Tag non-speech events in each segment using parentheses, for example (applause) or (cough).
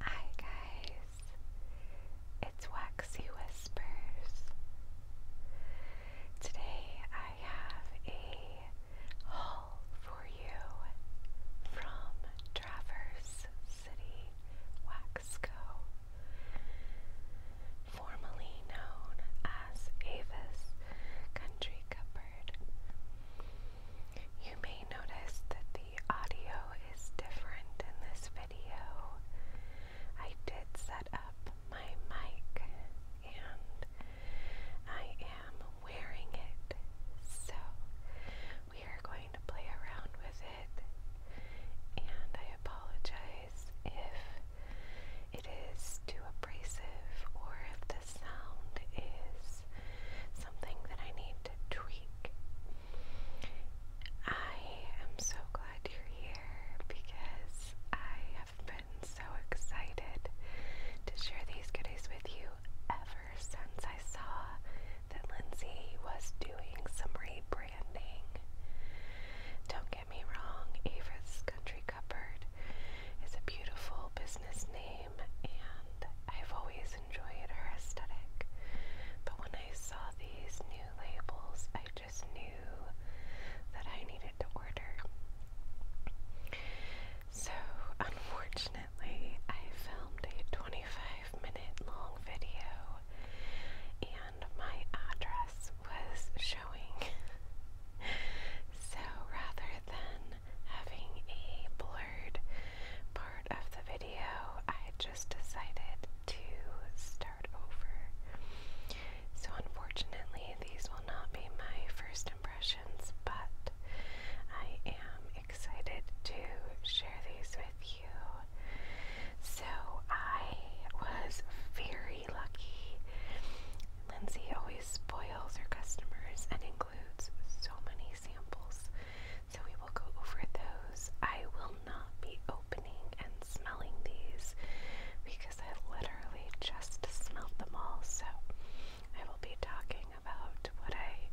Hi guys, it's Waxy Whispers. Today I have a haul for you from Traverse City Wax formerly known as Avis Country Cupboard. You may notice that the audio is different in this video. I did set up my mic and I am wearing it, so we are going to play around with it. And I apologize if it is too abrasive or if the sound is something that I need to tweak. I am so glad you're here because I have been so excited to share these goodies with you ever since I saw that Lindsay was doing some rebranding. Don't get me wrong, Ava's Country Cupboard it's a beautiful business name, and I've always enjoyed her aesthetic. But when I saw these new labels, I just knew that I needed to order. So, unfortunately, I filmed a 25 minute long video and my address was showing. (laughs) so, rather than having a blurred part of the video, I just decided to start over. So, unfortunately, these will not be my first impressions, but I am excited to share these with you. So, I was very lucky Lindsay always spoils her customers and includes so many samples, so we will go over those. I will not be opening and smelling these because I literally just smelled them all, so I will be talking about what I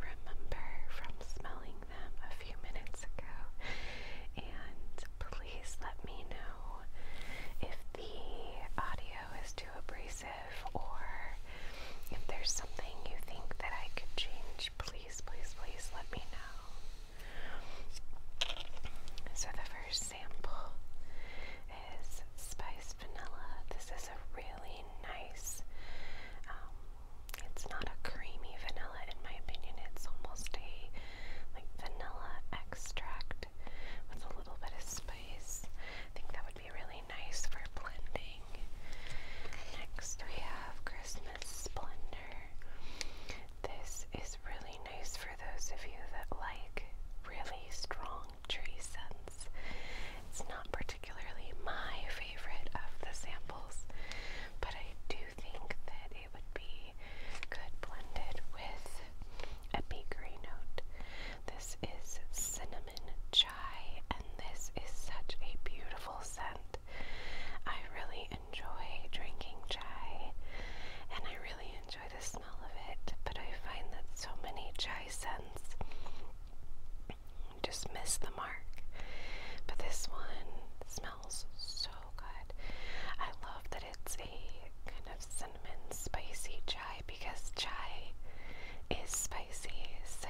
remember from smelling them a few minutes ago. And please let me know if the audio is too abrasive or if there's something you think that I could change, please, please, please let me know. So the first sample is Spice Vanilla. This is a really nice, um, it's not a creamy vanilla in my opinion, it's almost a like vanilla extract with a little bit of spice. I think that would be really nice for blending. Next, we have Christmas Splendor. This is really nice for those of you that like really strong tree scents. It's not particularly my favorite of the samples, but I do think that it would be good blended with a bakery note. This is cinnamon chai, and this is such a beautiful scent. I really enjoy drinking chai, and I really enjoy the smell of it, but I find that so many chai scents just miss the mark. But this one smells so good. I love that it's a kind of cinnamon spicy chai because chai is spicy, so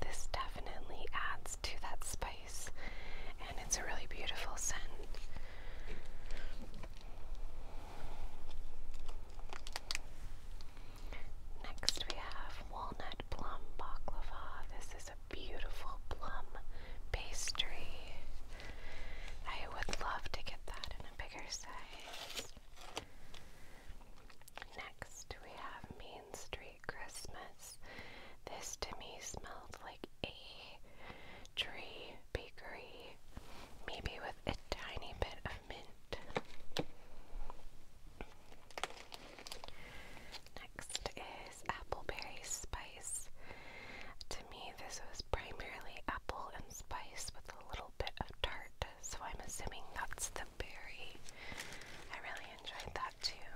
this definitely adds to that spice, and it's a really beautiful scent. Next, we have walnut plum baklava. This is a beautiful plum pastry. I would love to get that in a bigger size. Next, we have Main Street Christmas. This to me smelled like a tree bakery, maybe with a tiny bit of mint. Next is appleberry spice. To me, this was primarily apple and spice with a little bit of tart, so I'm assuming that's the berry. I really enjoyed that too.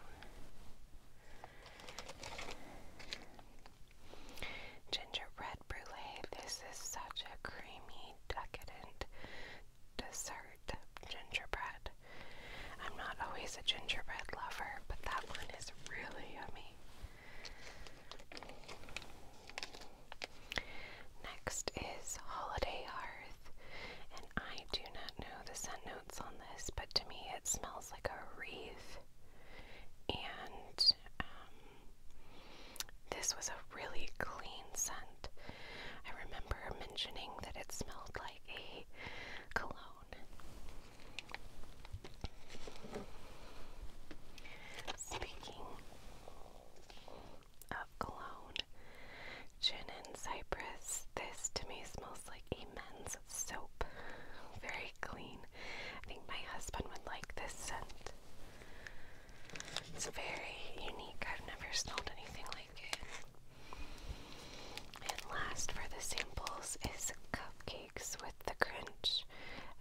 Gingerbread brulee. This is such a creamy, decadent dessert gingerbread. I'm not always a gingerbread lover, but that one is really yummy. Next is Holiday Hearth, and I do not know the scent notes on this, but to me it smells like a wreath. And um, this was a really clean scent. I remember mentioning that it smelled like a cologne. Speaking of cologne, gin cypress, this to me smells like a men's soap. Very clean. I think my husband would like this scent. It's very unique. I've never smelled anything like it. And last for the samples is cupcakes with the cringe.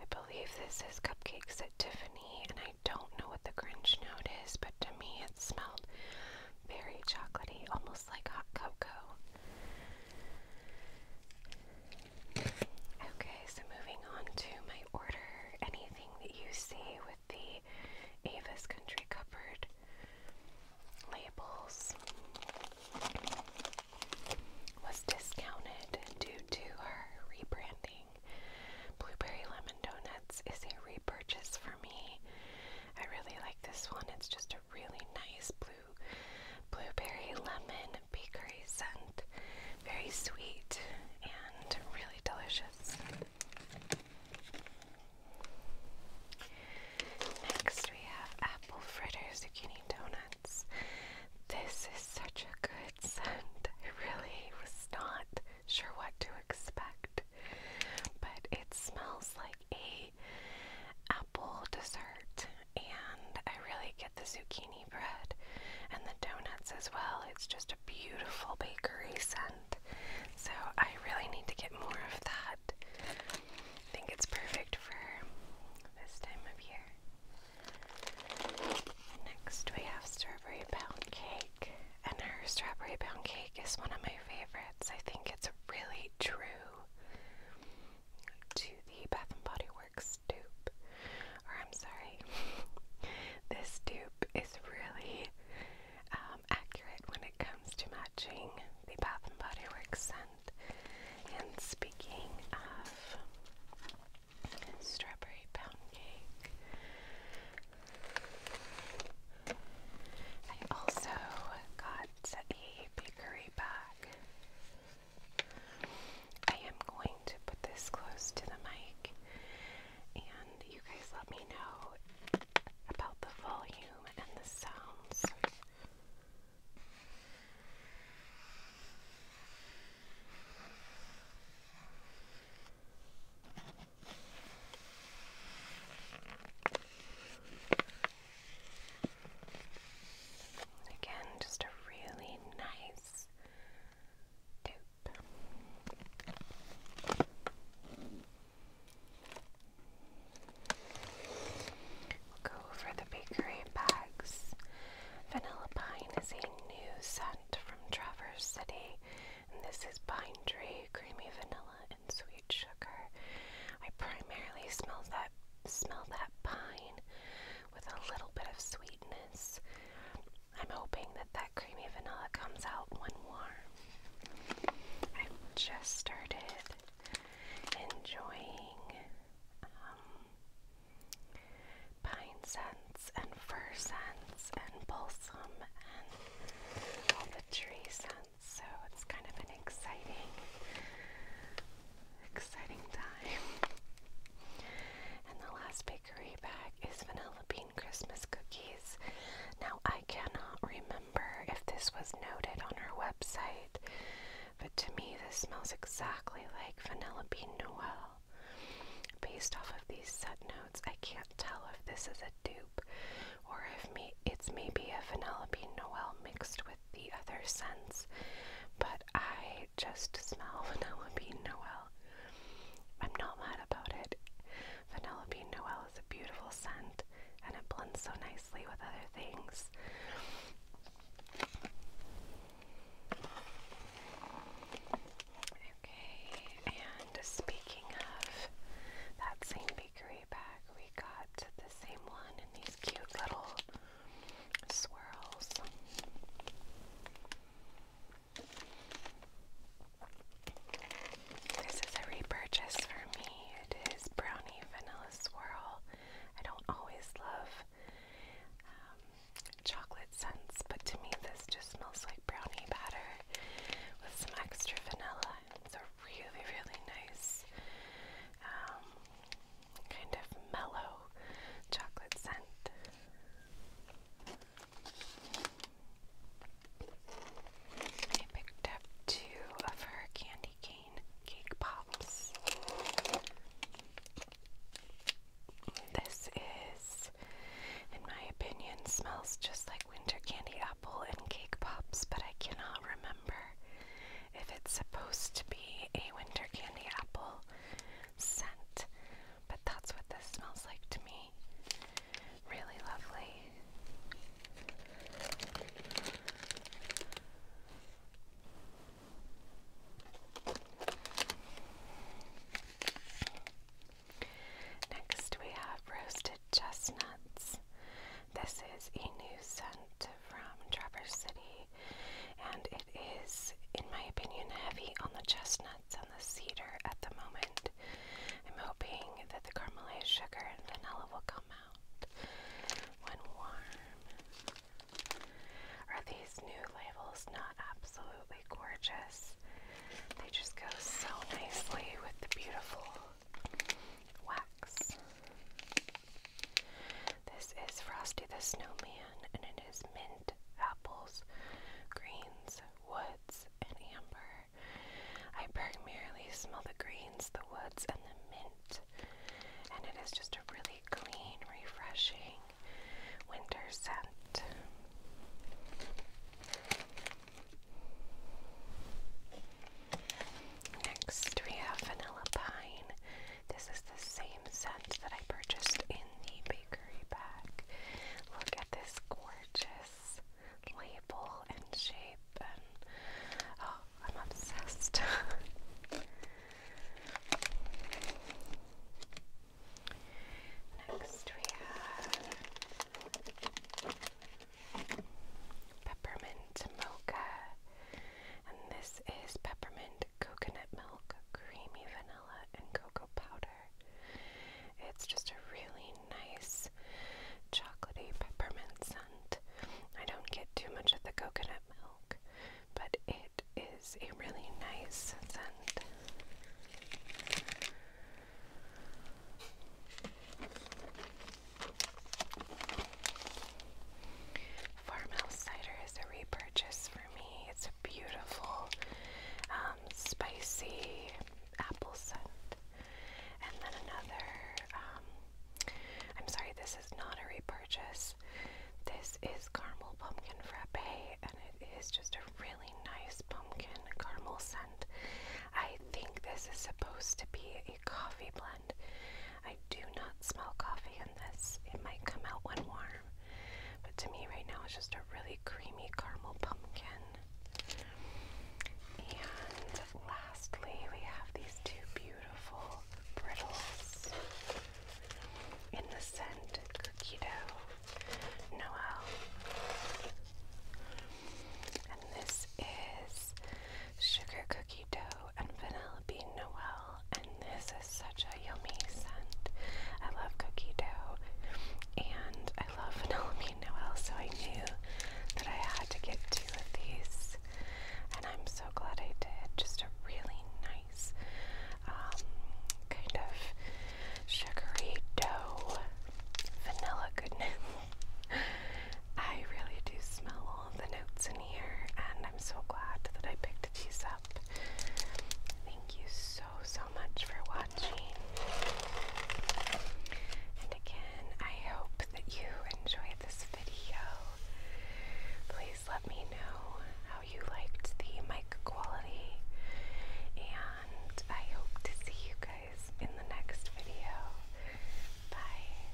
I believe this is cupcakes at Tiffany, and I don't know what the cringe note is, but to me it smelled very chocolatey, almost like hot cocoa. Okay, so moving on to my order. Anything that you see with the Ava's Country Cupboard labels was discounted due to our rebranding. Blueberry Lemon Donuts is a repurchase for me. I really like this one. It's just a really nice blue blueberry lemon bakery scent. Very sweet and really delicious. Next, we have apple fritter zucchini donuts. This is such a good scent. I really was not sure what to expect, but it smells like a apple dessert, and I really get the zucchini bread and the donuts as well. It's just a beautiful bakery scent. So I really need to get more of that I think it's perfect for this time of year. Next, we have strawberry pound cake, and our strawberry pound cake is one of my favorites. I think it's really true to the Bath and Body Works dupe, or I'm sorry, (laughs) this dupe is really. Um, um, accurate when it comes to matching the Bath and Body Works scent. And speaking of strawberry pound cake, I also got a bakery bag. I am going to put this close to the mic you guys let me know about the volume and the sounds. Again, just a really nice dupe go over the bakery bags. Vanilla Pine is a new scent from Traverse City, and this is pine tree, creamy vanilla, and sweet sugar. I primarily smell that smell that pine with a little bit of sweetness. I'm hoping that that creamy vanilla comes out when warm. I've just started enjoying um, pine scents and fir scents and balsam and all the tree scents. So it's kind of an exciting, exciting time. And the last page bakery bag is vanilla bean Christmas cookies. Now, I cannot remember if this was noted on her website, but to me, this smells exactly like vanilla bean Noel. Based off of these set notes, I can't tell if this is a dupe or if me it's maybe a vanilla bean Noel mixed with the other scents, but I just smell (laughs) vanilla bean Noel. I'm not mad about it. Vanilla bean Noel is a beautiful scent and it blends so nicely with other things. Okay, and speaking of that same bakery bag, we got the same one in these cute little swirls. This is a repurchase for me. It is brownie vanilla swirl. I don't always love um, chocolate scents, but to me this just smells like brownie batter with some extra vanilla. It's a really, really nice um, kind of mellow chocolate scent. I picked up two of her candy cane cake pops. This is, in my opinion, smells just like winter candy apple and cake pops, but I cannot remember if it's supposed to be a winter candy apple scent but that's what this smells like to me. Really lovely. Next, we have roasted chestnuts. This is a new scent from Traverse City, and it is, in my opinion, heavy on the chestnut nuts and the cedar at the moment. I'm hoping that the caramelized sugar and vanilla will come out when warm. Are these new labels not absolutely gorgeous? They just go so nicely with the beautiful wax. This is Frosty the Snowman and it is mint apples, greens, woods, and amber. I primarily smell the greens, the woods, and the mint, and it is just a really clean, refreshing winter scent. Next, we have vanilla pine. This is the same scent that I purchased in the bakery bag. Look at this gorgeous label and shape, and oh, I'm obsessed. (laughs) Next, we have peppermint mocha, and this is peppermint coconut milk, creamy vanilla, and cocoa powder. It's just a really nice chocolatey peppermint scent. I don't get too much of the coconut milk, but it is a really nice scent. Farmhouse cider is a repurchase it's a beautiful, um, spicy apple scent. And then another, um, I'm sorry, this is not a repurchase. This is caramel pumpkin frappe, and it is just a really nice pumpkin caramel scent. I think this is supposed to be a coffee blend, I do not smell coffee in this. It might come out when warm, but to me right now it's just a really creamy caramel pumpkin. And lastly, we have these two beautiful brittles in the scent cookie dough Noel. And this is sugar cookie Mosquito and bean Noel, and this is such a yummy scent. I love cookie dough and I love vanilla bean Noel, so I knew that I had to get two of these, and I'm so glad I did. Just a really nice, um, kind of sugary dough, vanilla goodness. (laughs) I really do smell all the notes in here and I'm so glad that I picked a these up. Thank you so, so much for watching. And again, I hope that you enjoyed this video. Please let me know how you liked the mic quality, and I hope to see you guys in the next video. Bye.